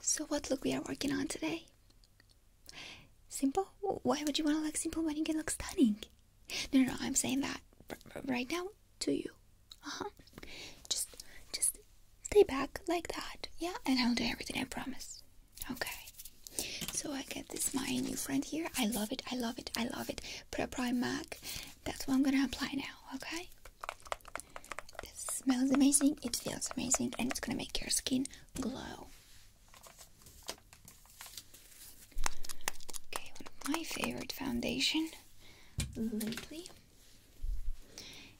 So what look we are working on today? Simple? Why would you want to look simple when you can look stunning? No, no, I'm saying that right now to you. Uh-huh. Just, just stay back like that, yeah? And I'll do everything, I promise. Okay. So I get this my new friend here. I love it, I love it, I love it. Pre Prime MAC. That's what I'm gonna apply now, okay? This smells amazing, it feels amazing, and it's gonna make your skin glow. Okay, my favorite foundation lately.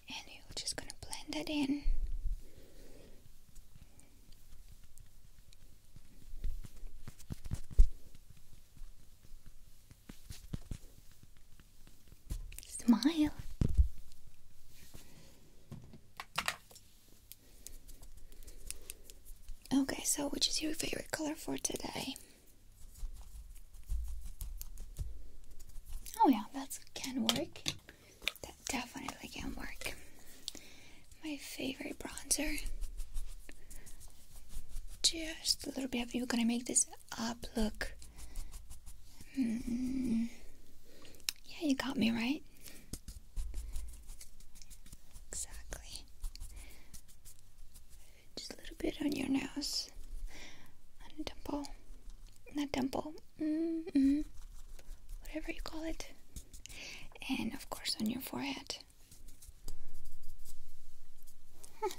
And we're just gonna blend that in. Smile. Okay, so which is your favorite color for today? Oh, yeah, that can work. That definitely can work. My favorite bronzer. Just a little bit of you gonna make this up. Look. Mm -mm. Yeah, you got me right. Exactly. Just a little bit on your nose. On a temple. Not temple. Mm -mm. Whatever you call it. And of course on your forehead. Huh.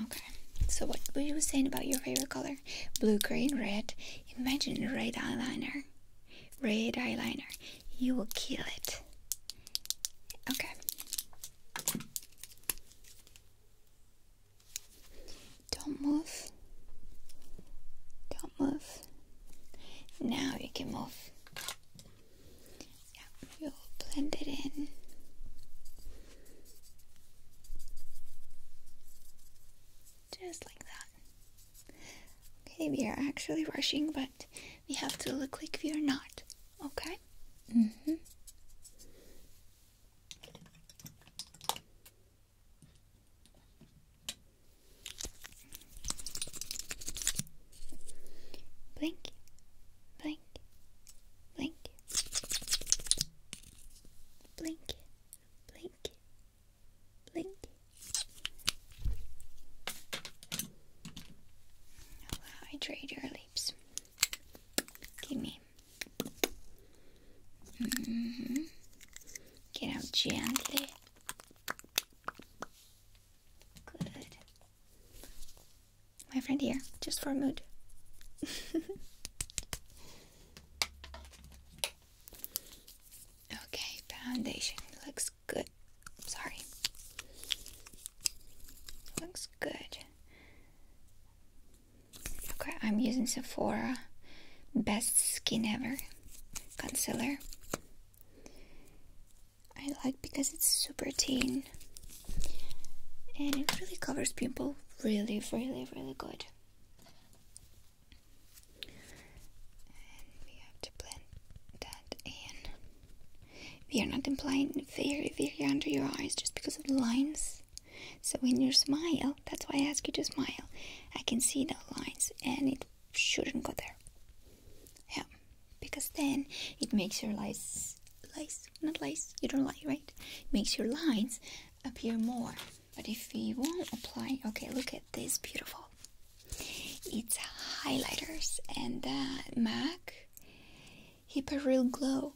Okay, so what were you saying about your favorite color? Blue, green, red. Imagine red eyeliner. Red eyeliner. You will kill it. Okay. Don't move. Don't move. Now you can move. Yeah, you'll blend it in. Just like that. Okay, we are actually rushing, but we have to look like we are not. Okay? hmm. Blink, blink, blink, blink, blink, blink. I'll your lips. Give me. Mm-hmm. Get out gently. Good. My friend here, just for mood. okay, foundation looks good. Sorry. Looks good. Okay, I'm using Sephora Best Skin Ever concealer. I like because it's super thin and it really covers pimple really really really good. And we have to blend that in. We are not applying very very under your eyes just because of the lines. So when you smile, that's why I ask you to smile. I can see the lines and it shouldn't go there. Yeah, because then it makes your lines, lines, not lines, you don't like, right? It makes your lines appear more. But if you won't apply, okay, look at this beautiful. It's highlighters and uh, MAC Hyperreal Glow.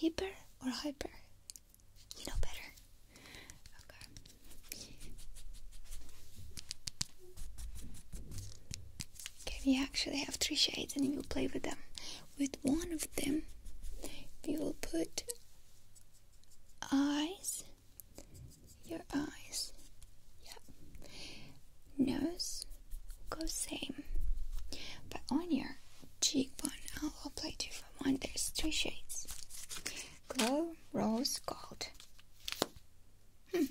Hyper or hyper? You know better. Okay. we actually have three shades and we'll play with them. With one of them, we will put eyes, your eyes, yeah. Nose, go same. But on your cheekbone. I'll apply for one. There's three shades: glow, rose, gold. Hmm.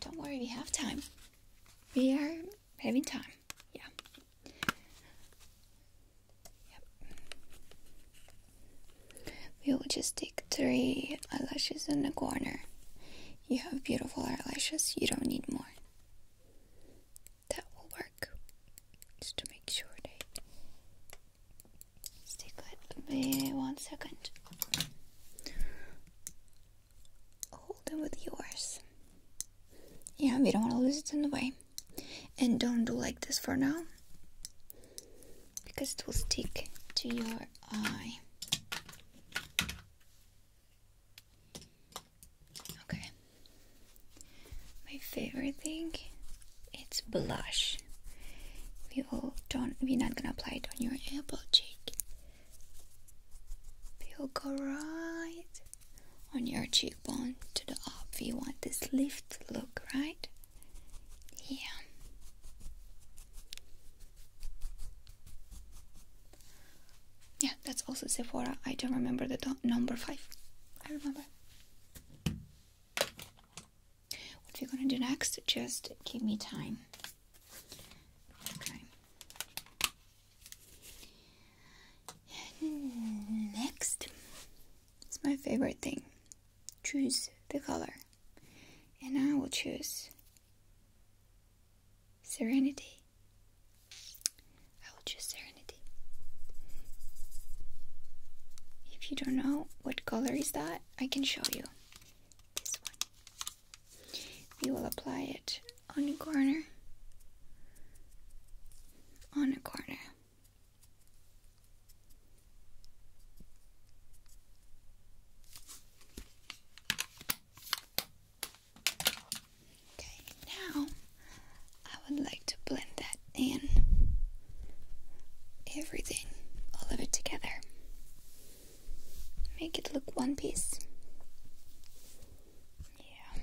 Don't worry, we have time. We are having time. Yeah. Yep. We will just take three eyelashes in the corner you have beautiful eyelashes, you don't need more. That will work. Just to make sure they stick with one second. Hold them with yours. Yeah, we don't want to lose it in the way. And don't do like this for now because it will stick to your eye. Okay. My favorite thing it's blush. We all don't we're not gonna apply it on your apple cheek. We'll go right on your cheekbone to the up. We want this lift look, right? Yeah. Yeah, that's also Sephora. I don't remember the number five. I remember. What we're gonna do next? Just give me time. Okay. Next, it's my favorite thing choose the color and I will choose serenity. I will choose serenity. If you don't know what color is that, I can show you this one. We will apply it on a corner, on a corner. Okay, now I would like to blend that in everything, all of it together. Make it look one piece. Yeah.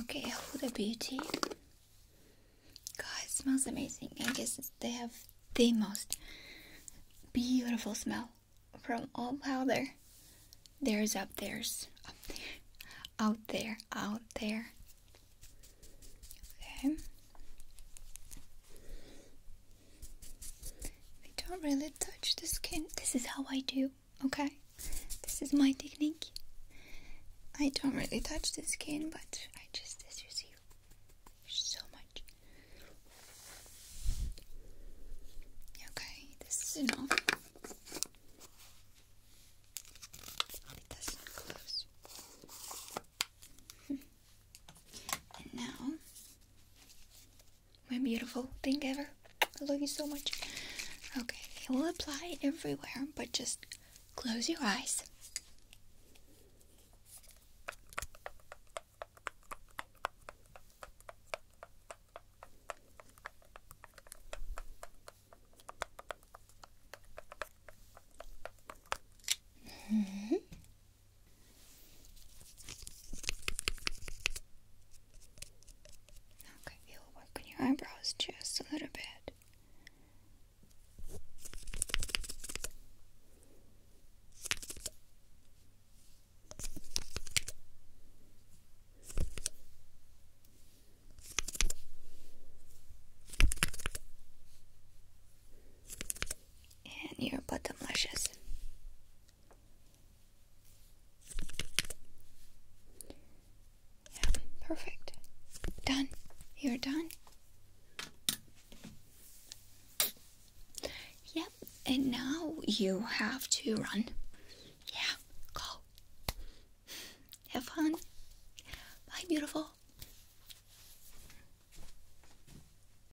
Okay, Huda Beauty. God, it smells amazing. I guess they have the most beautiful smell from all powder. There's up there's up there, out there, out there. Okay. We don't really touch the skin. This is how I do okay? This is my technique. I don't really touch the skin, but I just, as you so much. Okay, this is enough. It does close. Hmm. and now my beautiful thank ever. I love you so much. Okay, it will apply everywhere, but just close your eyes. -hmm. Okay, we'll work your eyebrows just a little bit. And your bottom lashes. Yeah, perfect. Done. You're done. Yep, and now you have to run. Yeah, go. Have fun. Bye, beautiful.